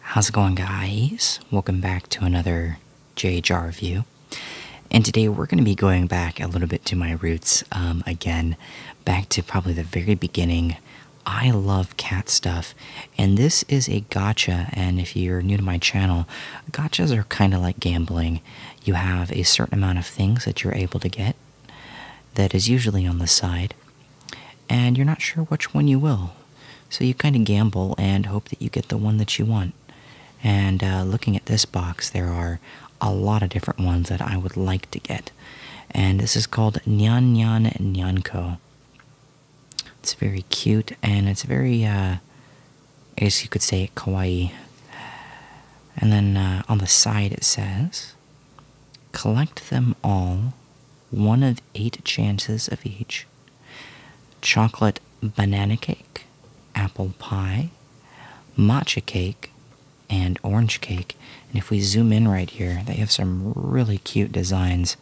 How's it going guys? Welcome back to another JHR review. And today we're going to be going back a little bit to my roots um, again, back to probably the very beginning. I love cat stuff, and this is a gotcha, and if you're new to my channel, gotchas are kind of like gambling. You have a certain amount of things that you're able to get, that is usually on the side, and you're not sure which one you will. So you kind of gamble and hope that you get the one that you want. And uh, looking at this box, there are a lot of different ones that I would like to get. And this is called Nyan Nyan Nyanko. It's very cute and it's very, uh, I guess you could say, kawaii. And then uh, on the side it says Collect them all, one of eight chances of each chocolate banana cake, apple pie, matcha cake, and orange cake. And if we zoom in right here, they have some really cute designs.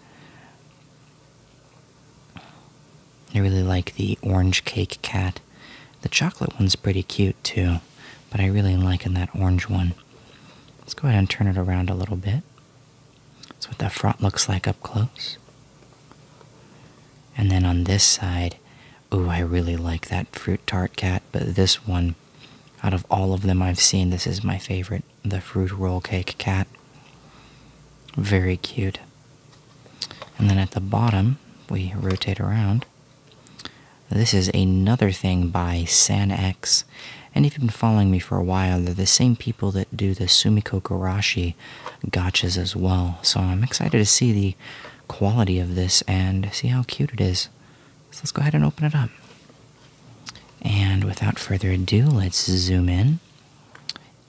I really like the orange cake cat. The chocolate one's pretty cute too, but I really like in that orange one. Let's go ahead and turn it around a little bit. That's what the front looks like up close. And then on this side, ooh, I really like that fruit tart cat, but this one, out of all of them I've seen, this is my favorite the fruit roll cake cat. Very cute. And then at the bottom, we rotate around. This is another thing by SanX, and if you've been following me for a while, they're the same people that do the Sumiko Garashi gotchas as well. So I'm excited to see the quality of this and see how cute it is. So let's go ahead and open it up. And without further ado, let's zoom in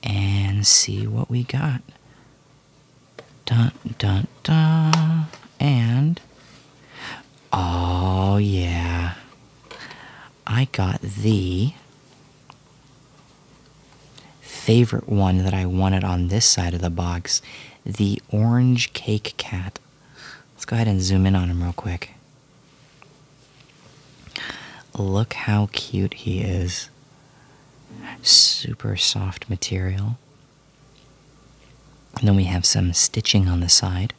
and see what we got. Dun dun dun. And Oh, yeah. I got the favorite one that I wanted on this side of the box the orange cake cat. Let's go ahead and zoom in on him real quick. Look how cute he is. Super soft material then we have some stitching on the side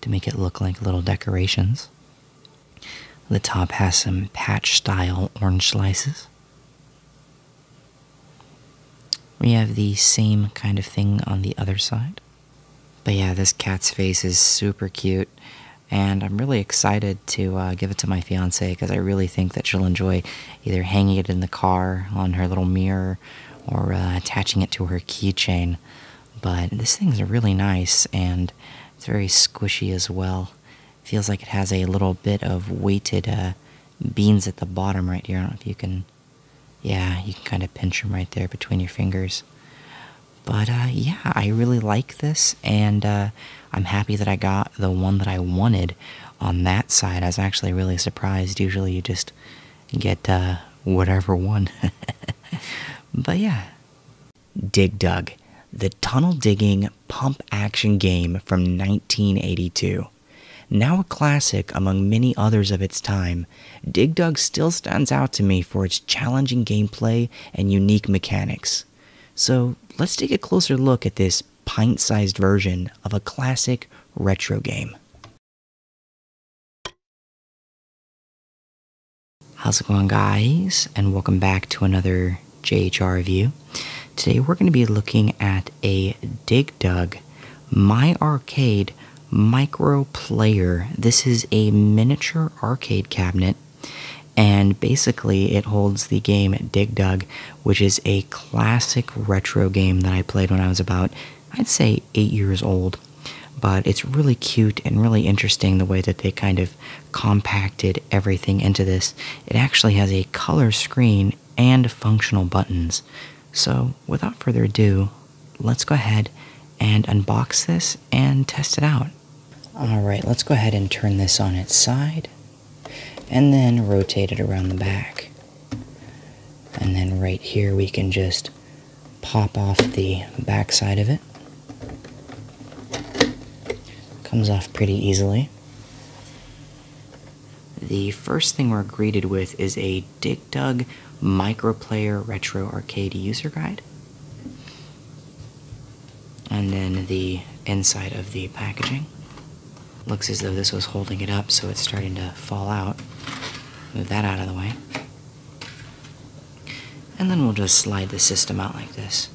to make it look like little decorations. The top has some patch style orange slices. We have the same kind of thing on the other side. But yeah, this cat's face is super cute, and I'm really excited to uh, give it to my fiance because I really think that she'll enjoy either hanging it in the car on her little mirror or uh, attaching it to her keychain. But this thing's really nice and it's very squishy as well. Feels like it has a little bit of weighted uh, beans at the bottom right here. I don't know if you can, yeah, you can kind of pinch them right there between your fingers. But uh, yeah, I really like this, and I'm happy that I got the one that I wanted on that side. I was actually really surprised. Usually, you just get uh, whatever one. but yeah. Dig Dug, the tunnel digging pump action game from 1982. Now a classic among many others of its time, Dig Dug still stands out to me for its challenging gameplay and unique mechanics. So let's take a closer look at this pint sized version of a classic retro game. How's it going, guys? And welcome back to another JHR review. Today we're going to be looking at a Dig Dug My Arcade Micro Player. This is a miniature arcade cabinet, and basically it holds the game Dig Dug, which is a classic retro game that I played when I was about I'd say eight years old. But it's really cute and really interesting the way that they kind of compacted everything into this. It actually has a color screen and functional buttons. So, without further ado, let's go ahead and unbox this and test it out. Alright, let's go ahead and turn this on its side and then rotate it around the back. And then right here we can just pop off the backside of it. Comes off pretty easily. The first thing we're greeted with is a Dig Dug Microplayer Retro Arcade User Guide. And then the inside of the packaging. Looks as though this was holding it up, so it's starting to fall out. Move that out of the way. And then we'll just slide the system out like this.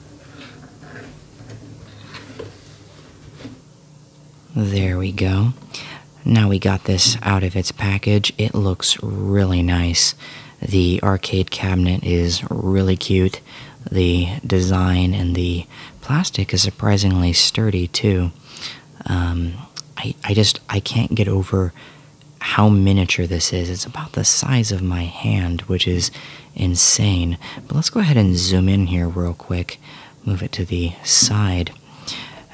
There we go. Now we got this out of its package. It looks really nice. The arcade cabinet is really cute. The design and the plastic is surprisingly sturdy too. Um, I, I just I can't get over how miniature this is. It's about the size of my hand, which is insane. But let's go ahead and zoom in here real quick. Move it to the side.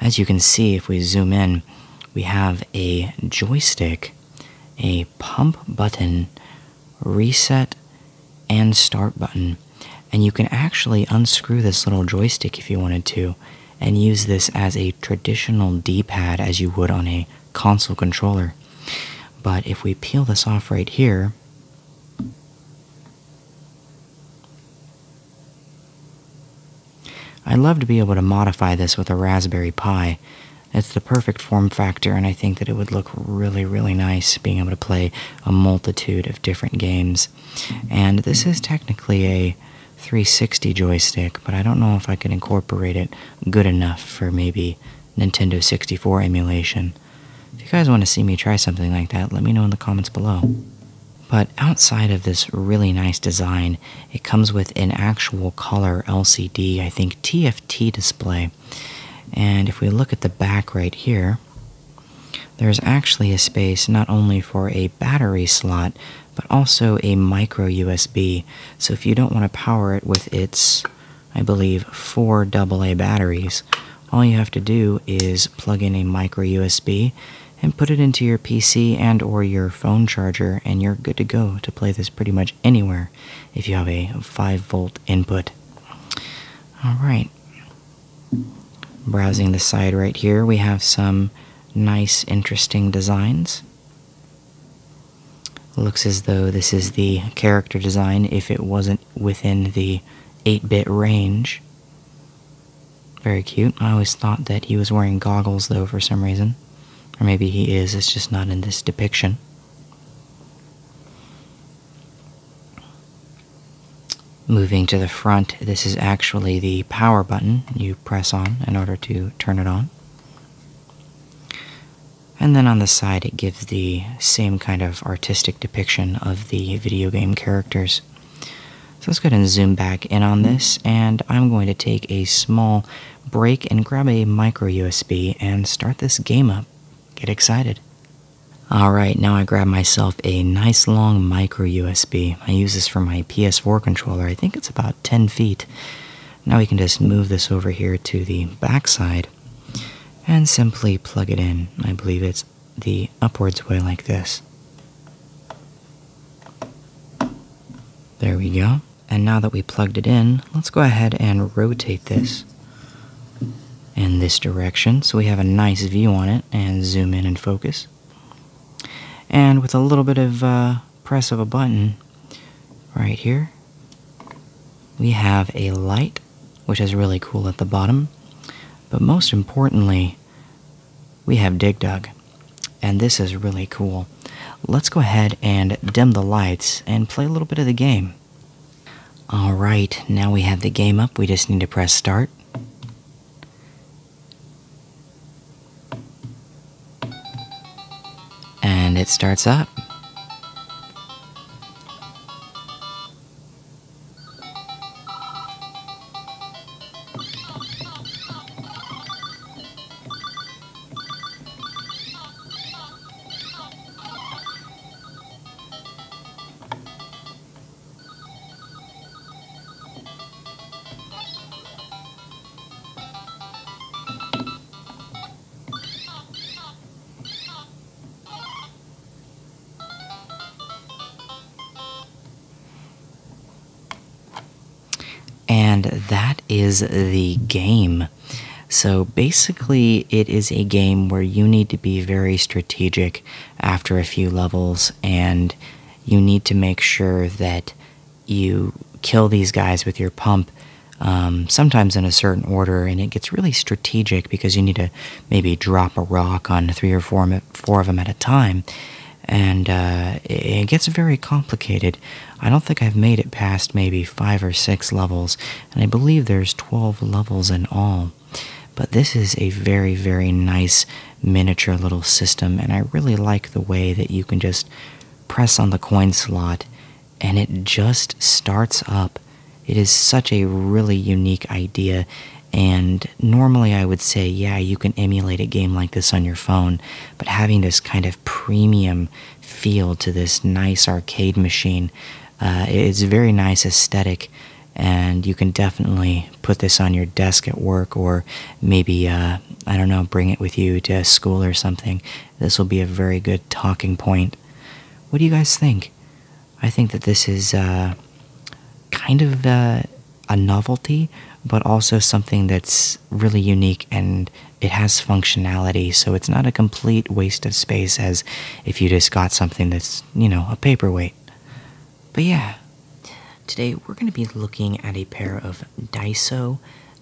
As you can see, if we zoom in, we have a joystick, a pump button, reset, and start button and you can actually unscrew this little joystick if you wanted to and use this as a traditional d-pad as you would on a console controller but if we peel this off right here I'd love to be able to modify this with a Raspberry Pi. It's the perfect form factor, and I think that it would look really, really nice being able to play a multitude of different games. And this is technically a 360 joystick, but I don't know if I could incorporate it good enough for maybe Nintendo 64 emulation. If you guys want to see me try something like that, let me know in the comments below. But outside of this really nice design, it comes with an actual color LCD, I think TFT display. And if we look at the back right here, there is actually a space not only for a battery slot, but also a micro USB. So if you don't want to power it with its, I believe, four AA batteries, all you have to do is plug in a micro USB and put it into your PC and or your phone charger and you're good to go to play this pretty much anywhere if you have a 5 volt input. All right. Browsing the side right here, we have some nice, interesting designs. Looks as though this is the character design if it wasn't within the 8 bit range. Very cute. I always thought that he was wearing goggles though for some reason. Or maybe he is, it's just not in this depiction. Moving to the front, this is actually the power button you press on in order to turn it on. And then on the side, it gives the same kind of artistic depiction of the video game characters. So let's go ahead and zoom back in on this, and I'm going to take a small break and grab a micro USB and start this game up. Get excited. Alright, now I grab myself a nice long micro USB. I use this for my PS4 controller. I think it's about 10 feet. Now we can just move this over here to the back side and simply plug it in. I believe it's the upwards way like this. There we go. And now that we plugged it in, let's go ahead and rotate this in this direction so we have a nice view on it and zoom in and focus. And with a little bit of uh, press of a button right here, we have a light, which is really cool at the bottom. But most importantly, we have Dig Dug. And this is really cool. Let's go ahead and dim the lights and play a little bit of the game. All right, now we have the game up. We just need to press start. And it starts up. And that is the game. So basically, it is a game where you need to be very strategic after a few levels and you need to make sure that you kill these guys with your pump, um, sometimes in a certain order, and it gets really strategic because you need to maybe drop a rock on three or four, of them at a time. And uh, it gets very complicated. I don't think I've made it past maybe five or six levels, and I believe there's 12 levels in all. But this is a very, very nice miniature little system, and I really like the way that you can just press on the coin slot and it just starts up. It is such a really unique idea, and normally I would say, yeah, you can emulate a game like this on your phone, but having this kind of premium feel to this nice arcade machine. Uh, it's a very nice aesthetic, and you can definitely put this on your desk at work or maybe uh, i don't know bring it with you to school or something this will be a very good talking point what do you guys think i think that this is uh, kind of uh, a novelty but also something that's really unique and it has functionality so it's not a complete waste of space as if you just got something that's you know a paperweight but yeah Today we're going to be looking at a pair of Daiso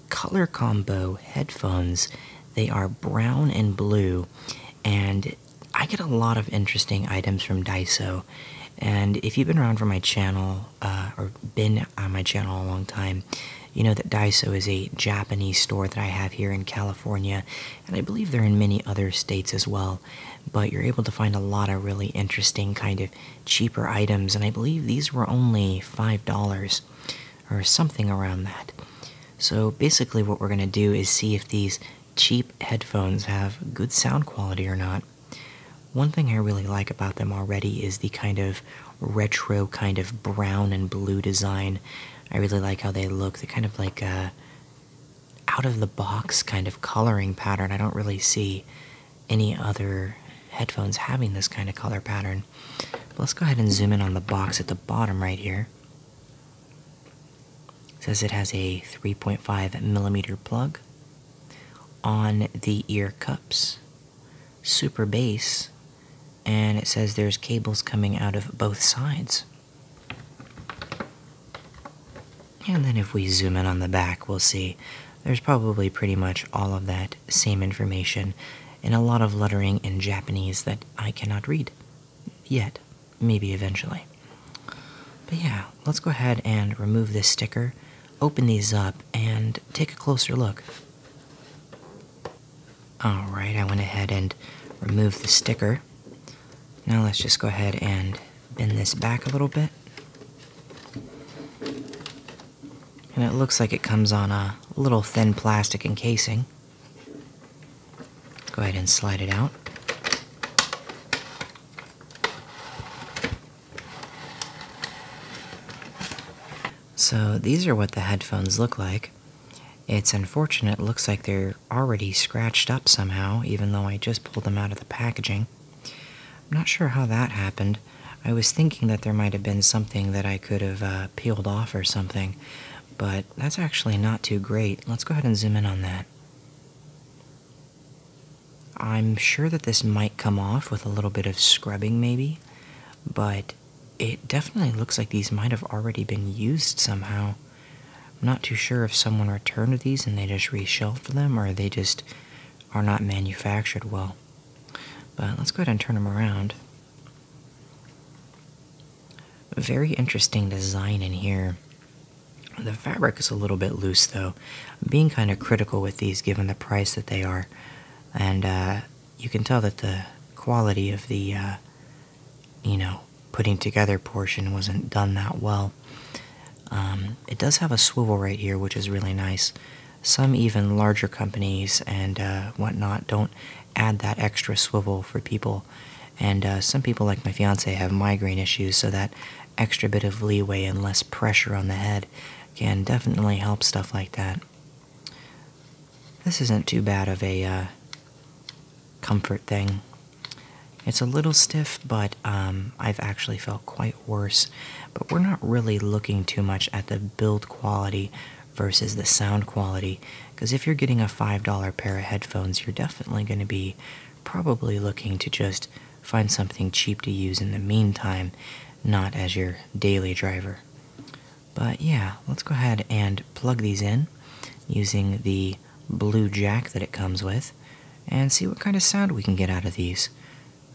Color Combo headphones. They are brown and blue, and I get a lot of interesting items from Daiso. And if you've been around for my channel, uh, or been on my channel a long time, you know that Daiso is a Japanese store that I have here in California, and I believe they're in many other states as well but you're able to find a lot of really interesting kind of cheaper items and i believe these were only five dollars or something around that so basically what we're going to do is see if these cheap headphones have good sound quality or not one thing i really like about them already is the kind of retro kind of brown and blue design i really like how they look they're kind of like uh, out of the box kind of coloring pattern. I don't really see any other headphones having this kind of color pattern. But let's go ahead and zoom in on the box at the bottom right here. says it has a 3.5 millimeter plug. On the ear cups, super base, and it says there's cables coming out of both sides. And then if we zoom in on the back, we'll see there's probably pretty much all of that same information and a lot of lettering in Japanese that I cannot read yet, maybe eventually. But yeah, let's go ahead and remove this sticker, open these up, and take a closer look. Alright, I went ahead and removed the sticker. Now let's just go ahead and bend this back a little bit. And it looks like it comes on a little thin plastic encasing. Go ahead and slide it out. So these are what the headphones look like. It's unfortunate, looks like they're already scratched up somehow, even though I just pulled them out of the packaging. I'm not sure how that happened. I was thinking that there might have been something that I could have uh, peeled off or something, but that's actually not too great. Let's go ahead and zoom in on that. I'm sure that this might come off with a little bit of scrubbing, maybe, but it definitely looks like these might have already been used somehow. I'm not too sure if someone returned these and they just reshelved them or they just are not manufactured well. But let's go ahead and turn them around. Very interesting design in here. The fabric is a little bit loose though. I'm being kind of critical with these given the price that they are. And uh, you can tell that the quality of the, uh, you know, putting together portion wasn't done that well. Um, it does have a swivel right here, which is really nice. Some even larger companies and uh, whatnot don't add that extra swivel for people. And uh, some people, like my fiance, have migraine issues, so that extra bit of leeway and less pressure on the head can definitely help stuff like that. This isn't too bad of a uh, comfort thing. It's a little stiff, but um, I've actually felt quite worse. But we're not really looking too much at the build quality versus the sound quality, because if you're getting a $5 pair of headphones, you're definitely going to be probably looking to just find something cheap to use in the meantime, not as your daily driver. But yeah, let's go ahead and plug these in using the blue jack that it comes with and see what kind of sound we can get out of these.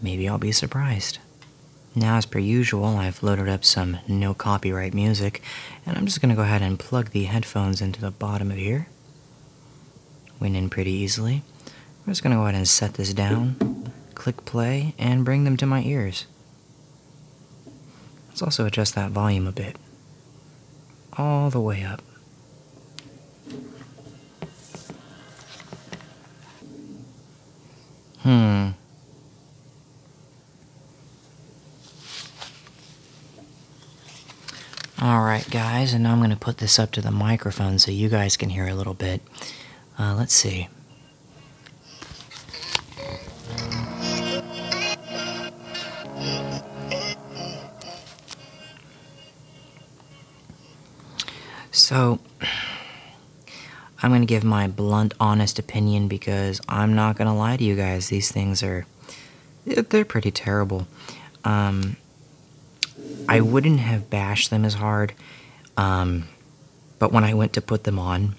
Maybe I'll be surprised. Now, as per usual, I've loaded up some no copyright music, and I'm just gonna go ahead and plug the headphones into the bottom of here. Went in pretty easily. I'm just gonna go ahead and set this down, click play, and bring them to my ears. Let's also adjust that volume a bit. All the way up. Hmm. Alright guys, and now I'm going to put this up to the microphone so you guys can hear a little bit. Uh, let's see. So, I'm going to give my blunt, honest opinion because I'm not going to lie to you guys. These things are, they're pretty terrible. Um, I wouldn't have bashed them as hard, um, but when I went to put them on,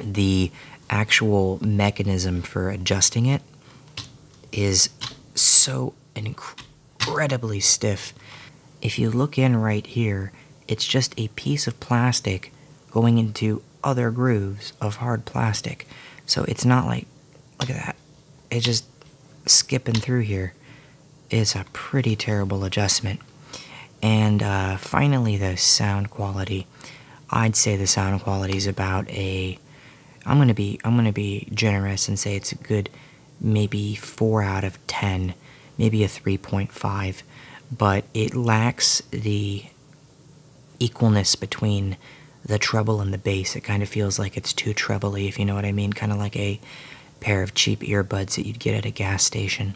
the actual mechanism for adjusting it is so incredibly stiff. If you look in right here, it's just a piece of plastic going into other grooves of hard plastic. So it's not like, look at that. It's just skipping through here. It's a pretty terrible adjustment. And uh, finally, the sound quality. I'd say the sound quality is about a I'm gonna be I'm gonna be generous and say it's a good maybe four out of ten, maybe a three point five, but it lacks the equalness between the treble and the bass. It kind of feels like it's too trebly, if you know what I mean, kind of like a pair of cheap earbuds that you'd get at a gas station.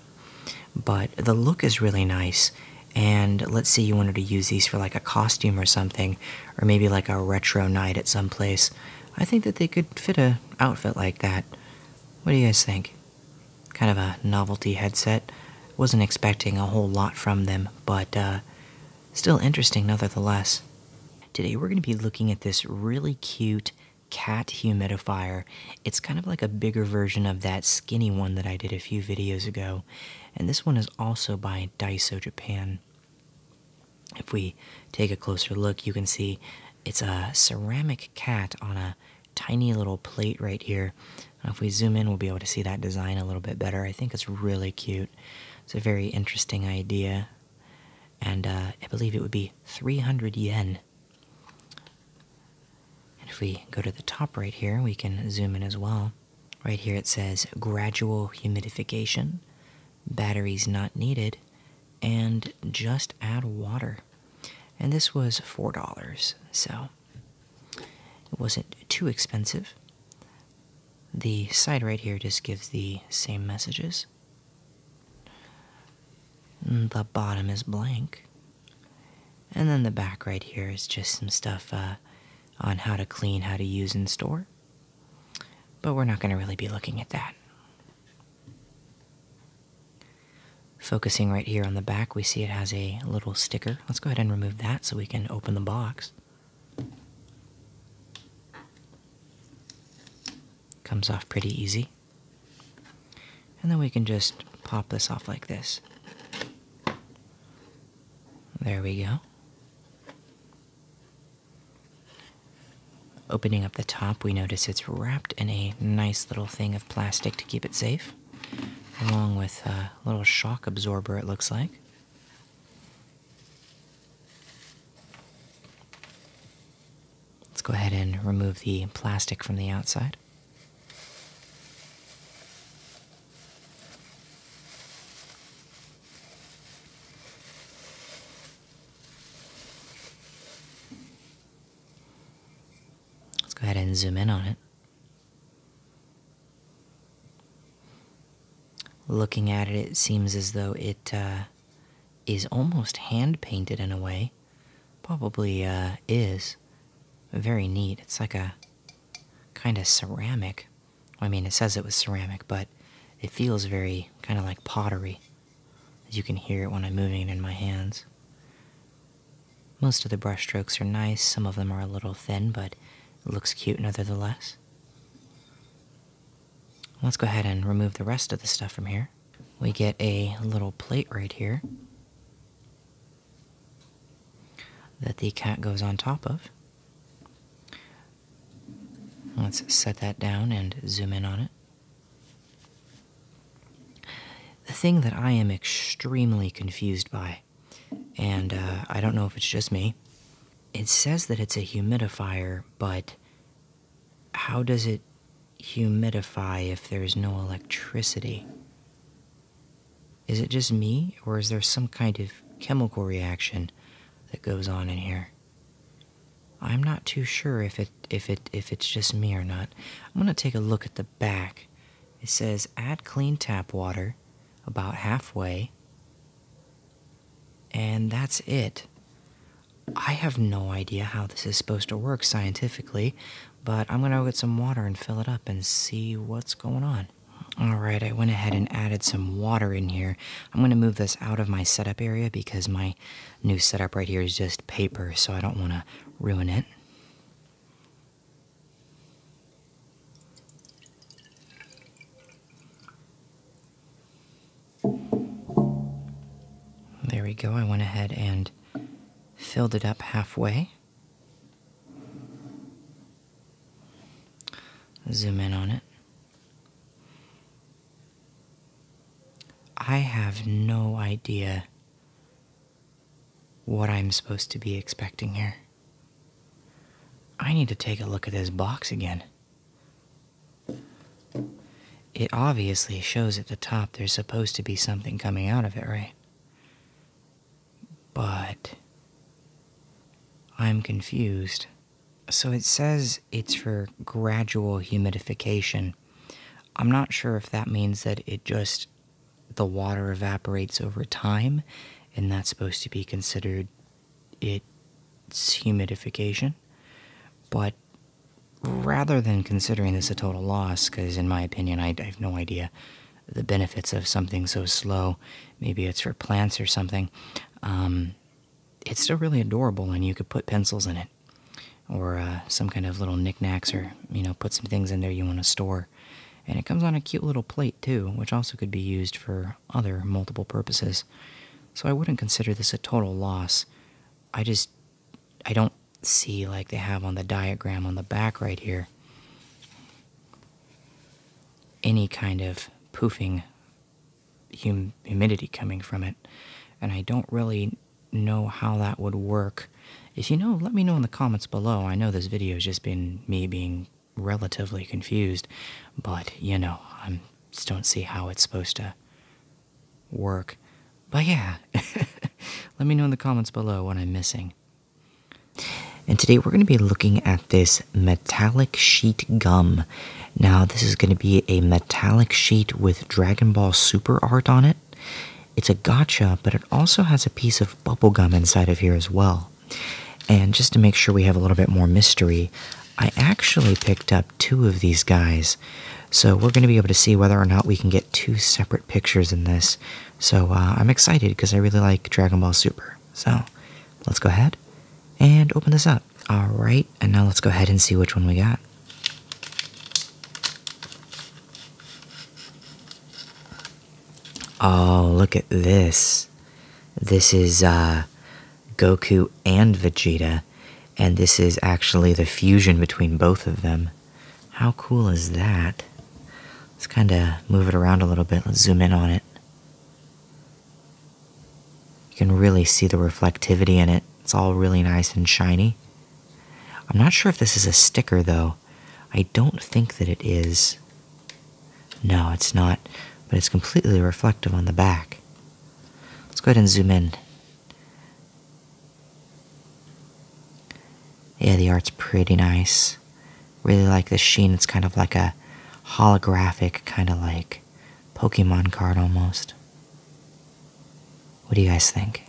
But the look is really nice, and let's say you wanted to use these for like a costume or something, or maybe like a retro night at some place. I think that they could fit a outfit like that. What do you guys think? Kind of a novelty headset. Wasn't expecting a whole lot from them, but uh, still interesting nonetheless. Today we're going to be looking at this really cute cat humidifier. It's kind of like a bigger version of that skinny one that I did a few videos ago, and this one is also by Daiso Japan. If we take a closer look, you can see it's a ceramic cat on a tiny little plate right here. And if we zoom in, we'll be able to see that design a little bit better. I think it's really cute. It's a very interesting idea. And uh, I believe it would be 300 yen. And if we go to the top right here, we can zoom in as well. Right here it says gradual humidification, batteries not needed, and just add water. And this was $4, so it wasn't too expensive. The side right here just gives the same messages. The bottom is blank. And then the back right here is just some stuff uh, on how to clean, how to use, in store. But we're not going to really be looking at that. Focusing right here on the back, we see it has a little sticker. Let's go ahead and remove that so we can open the box. Comes off pretty easy. And then we can just pop this off like this. There we go. Opening up the top, we notice it's wrapped in a nice little thing of plastic to keep it safe, along with a little shock absorber, it looks like. Let's go ahead and remove the plastic from the outside. Let's go ahead and zoom in on it. Looking at it, it seems as though it uh, is almost hand painted in a way. Probably uh, is. Very neat. It's like a kind of ceramic. I mean, it says it was ceramic, but it feels very kind of like pottery. As you can hear it when I'm moving it in my hands. Most of the brushstrokes are nice, some of them are a little thin, but it looks cute nevertheless. Let's go ahead and remove the rest of the stuff from here. We get a little plate right here that the cat goes on top of. Let's set that down and zoom in on it. The thing that I am extremely confused by, and uh, I don't know if it's just me, it says that it's a humidifier, but how does it humidify if there's no electricity? Is it just me, or is there some kind of chemical reaction that goes on in here. I'm not too sure if it if it if it's just me or not. I'm gonna take a look at the back. It says add clean tap water about halfway. And that's it. I have no idea how this is supposed to work scientifically, but I'm gonna get some water and fill it up and see what's going on. All right, I went ahead and added some water in here. I'm going to move this out of my setup area because my new setup right here is just paper, so I don't want to ruin it. There we go. I went ahead and filled it up halfway. Zoom in on it. I have no idea what I'm supposed to be expecting here. I need to take a look at this box again. It obviously shows at the top there's supposed to be something coming out of it, right? But I'm confused. So it says it's for gradual humidification. I'm not sure if that means that it just the water evaporates over time and that's supposed to be considered its humidification. But rather than considering this a total loss, because in my opinion, I, have no idea the benefits of something so slow, maybe it's for plants or something, um, it's still really adorable, and you could put pencils in it, or uh, some kind of little knickknacks, or you know, put some things in there you want to store. And it comes on a cute little plate too, which also could be used for other multiple purposes. So I wouldn't consider this a total loss. I just I don't see like they have on the diagram on the back right here any kind of poofing humidity coming from it, and I don't really know how that would work. If you know, let me know in the comments below. I know this video has just been me being relatively confused, but you know, I just don't see how it's supposed to work. But yeah, let me know in the comments below what I'm missing. And today we're going to be looking at this metallic sheet gum. Now, this is going to be a metallic sheet with Dragon Ball Super art on it. It's a gotcha, but it also has a piece of bubblegum inside of here as well. And just to make sure we have a little bit more mystery, I actually picked up two of these guys. So we're going to be able to see whether or not we can get two separate pictures in this. So uh, I'm excited because I really like Dragon Ball Super. So let's go ahead and open this up. All right, and now let's go ahead and see which one we got. Oh, look at this. This is uh, Goku and Vegeta, and this is actually the fusion between both of them. How cool is that? Let's kind of move it around a little bit. Let's zoom in on it. You can really see the reflectivity in it. It's all really nice and shiny. I'm not sure if this is a sticker though. I don't think that it is. No, it's not, but it's completely reflective on the back. Let's go ahead and zoom in. Yeah, the art's pretty nice. Really like the sheen. It's kind of like a holographic, kind of like Pokemon card almost. What do you guys think?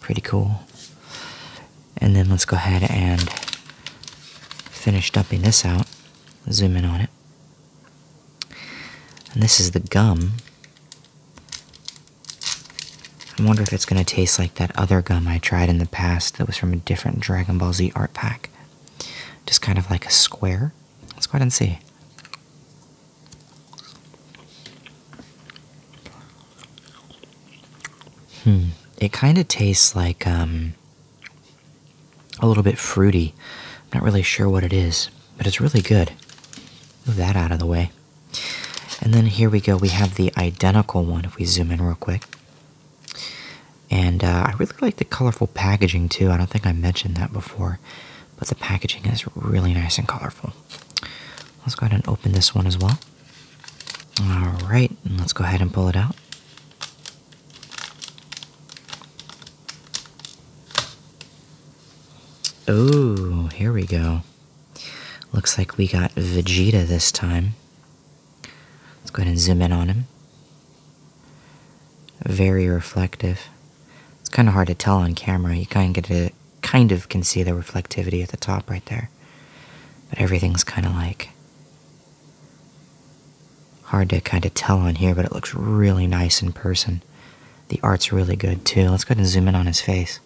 Pretty cool. And then let's go ahead and finish dumping this out. Zoom in on it. And this is the gum. I wonder if it's going to taste like that other gum I tried in the past that was from a different Dragon Ball Z art pack. Just kind of like a square. Let's go ahead and see. Hmm. It kind of tastes like um, a little bit fruity. I'm not really sure what it is, but it's really good. Move that out of the way. And then here we go. We have the identical one if we zoom in real quick. And uh, I really like the colorful packaging too. I don't think I mentioned that before, but the packaging is really nice and colorful. Let's go ahead and open this one as well. All right, let's go ahead and pull it out. Oh, here we go. Looks like we got Vegeta this time. Let's go ahead and zoom in on him. Very reflective. It's kind of hard to tell on camera. You kind of get a, kind of can see the reflectivity at the top right there, but everything's kind of like hard to kind of tell on here. But it looks really nice in person. The art's really good too. Let's go ahead and zoom in on his face.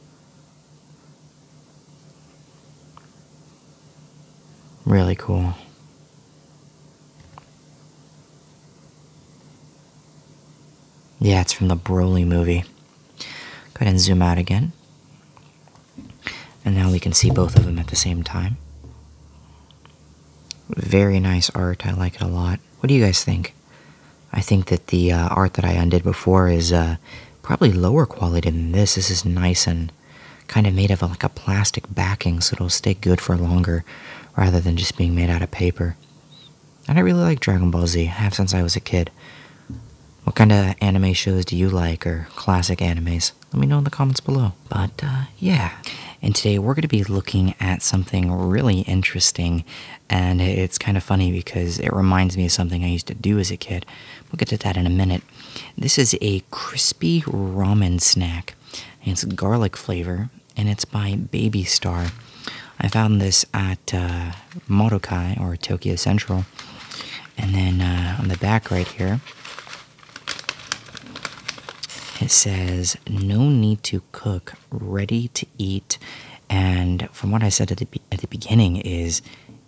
Really cool. Yeah, it's from the Broly movie. Go ahead and zoom out again. And now we can see both of them at the same time. Very nice art. I like it a lot. What do you guys think? I think that the uh, art that I undid before is uh, probably lower quality than this. This is nice and kind of made of like a plastic backing so it'll stay good for longer rather than just being made out of paper. And I really like Dragon Ball Z, I have since I was a kid. What kind of anime shows do you like or classic animes? Let me know in the comments below. But uh, yeah. And today we're going to be looking at something really interesting. And it's kind of funny because it reminds me of something I used to do as a kid. We'll get to that in a minute. This is a crispy ramen snack. it's garlic flavor and it's by Baby Star. I found this at uh, Motokai or Tokyo Central. And then uh, on the back right here, it says no need to cook, ready to eat. And from what I said at the, at the beginning is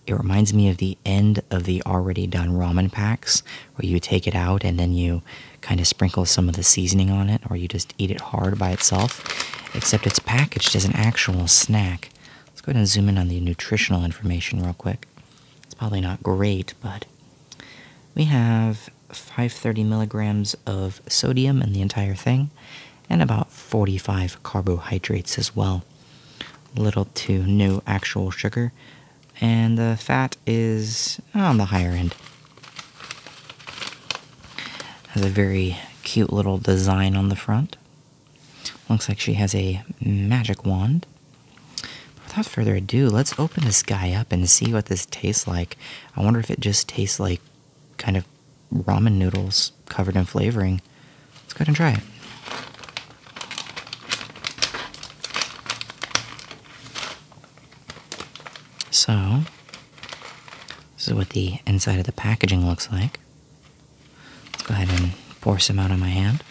it reminds me of the end of the already done ramen packs or you take it out and then you kind of sprinkle some of the seasoning on it, or you just eat it hard by itself, except it's packaged as an actual snack. Let's go ahead and zoom in on the nutritional information real quick. It's probably not great, but we have 530 milligrams of sodium in the entire thing and about 45 carbohydrates as well. Little to no actual sugar, and the fat is on the higher end. Has a very cute little design on the front. Looks like she has a magic wand. without further ado, let's open this guy up and see what this tastes like. I wonder if it just tastes like kind of ramen noodles covered in flavoring. Let's go ahead and try it. So, this is what the inside of the packaging looks like. Let's go ahead and pour some out on my hand.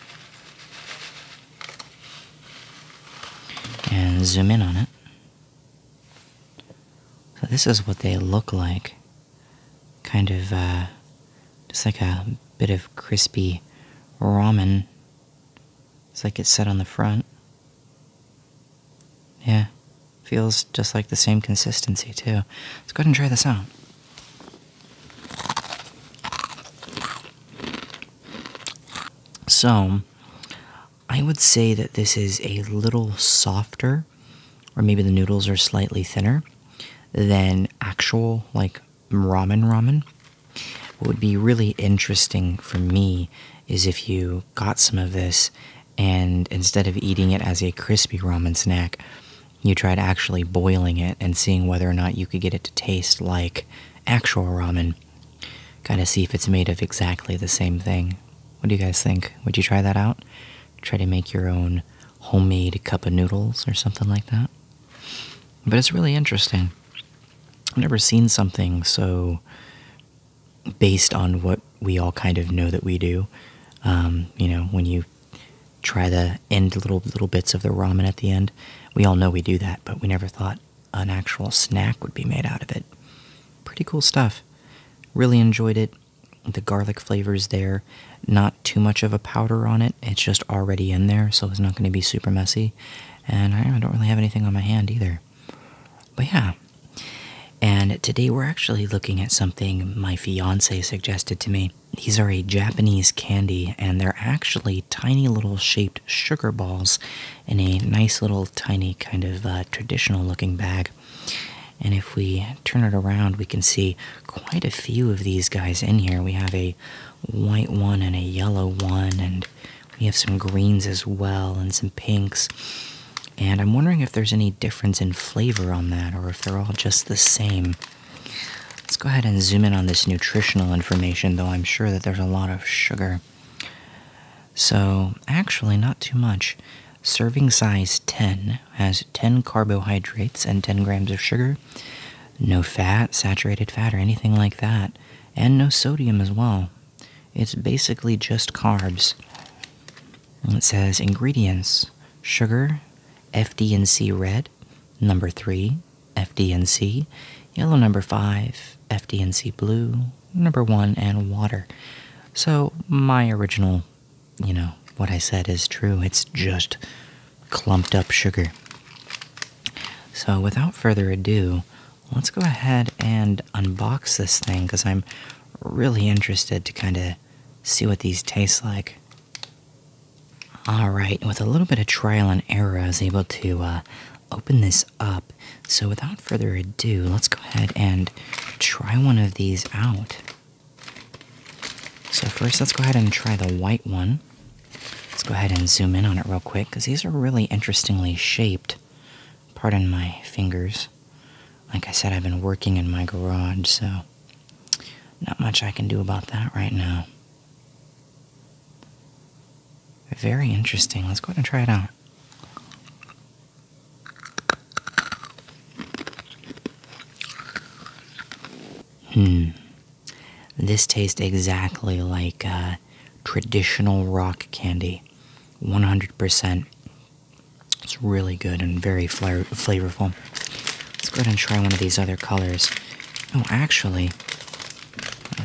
And zoom in on it. So, this is what they look like. Kind of, uh, just like a bit of crispy ramen it's like it's set on the front. Yeah, feels just like the same consistency, too. Let's go ahead and try this out. So, I would say that this is a little softer, or maybe the noodles are slightly thinner than actual, like ramen ramen. What would be really interesting for me is if you got some of this and instead of eating it as a crispy ramen snack, you tried actually boiling it and seeing whether or not you could get it to taste like actual ramen. Kind of see if it's made of exactly the same thing. What do you guys think? Would you try that out? Try to make your own homemade cup of noodles or something like that? But it's really interesting. I've never seen something so based on what we all kind of know that we do. Um, you know, when you try the end little little bits of the ramen at the end, we all know we do that, but we never thought an actual snack would be made out of it. Pretty cool stuff. Really enjoyed it. The garlic flavors there, not too much of a powder on it. It's just already in there, so it's not going to be super messy. And I don't really have anything on my hand either. But yeah. And today we're actually looking at something my fiance suggested to me. These are a Japanese candy, and they're actually tiny little shaped sugar balls in a nice little tiny kind of uh, traditional looking bag. And if we turn it around, we can see quite a few of these guys in here. We have a white one and a yellow one, and we have some greens as well, and some pinks. And I'm wondering if there's any difference in flavor on that, or if they're all just the same. Let's go ahead and zoom in on this nutritional information, though I'm sure that there's a lot of sugar. So, actually, not too much. Serving size 10 has 10 carbohydrates and 10 grams of sugar. No fat, saturated fat, or anything like that, and no sodium as well. It's basically just carbs. it says ingredients sugar, FD&C red, number 3, FD&C, yellow number 5, FD&C blue, number 1, and water. So my original, you know, what I said is true. It's just clumped up sugar. So, without further ado, let's go ahead and unbox this thing because I'm really interested to kind of see what these taste like. Alright, with a little bit of trial and error, I was able to uh, open this up. So, without further ado, let's go ahead and try one of these out. So, first, let's go ahead and try the white one. Let's go ahead and zoom in on it real quick because these are really interestingly shaped. Pardon my fingers. Like I said, I've been working in my garage, so not much I can do about that right now. Very interesting. Let's go ahead and try it out. Hmm. This tastes exactly like uh, traditional rock candy, 100%. It's really good and very flavorful. Let's go ahead and try one of these other colors. Oh, actually,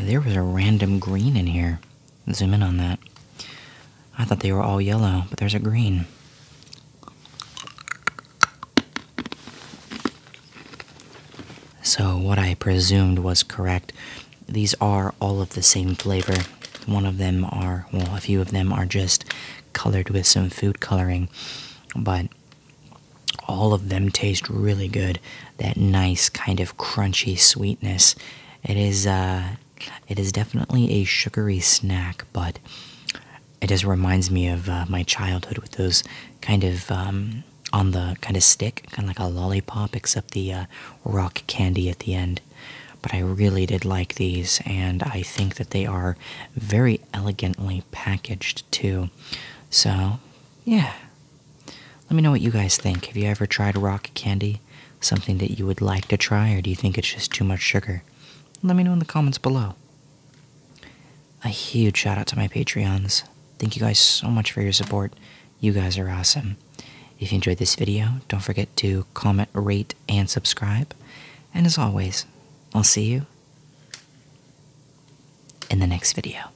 there was a random green in here. Zoom in on that. I thought they were all yellow, but there's a green. So, what I presumed was correct. These are all of the same flavor. One of them are, well, a few of them are just colored with some food coloring, but all of them taste really good. That nice kind of crunchy sweetness. It is, uh, it is definitely a sugary snack, but it just reminds me of uh, my childhood with those kind of um, on the kind of stick, kind of like a lollipop, except the uh, rock candy at the end. But I really did like these, and I think that they are very elegantly packaged too. So, yeah. Let me know what you guys think. Have you ever tried rock candy? Something that you would like to try, or do you think it's just too much sugar? Let me know in the comments below. A huge shout out to my Patreons. Thank you guys so much for your support. You guys are awesome. If you enjoyed this video, don't forget to comment, rate, and subscribe. And as always, I'll see you in the next video.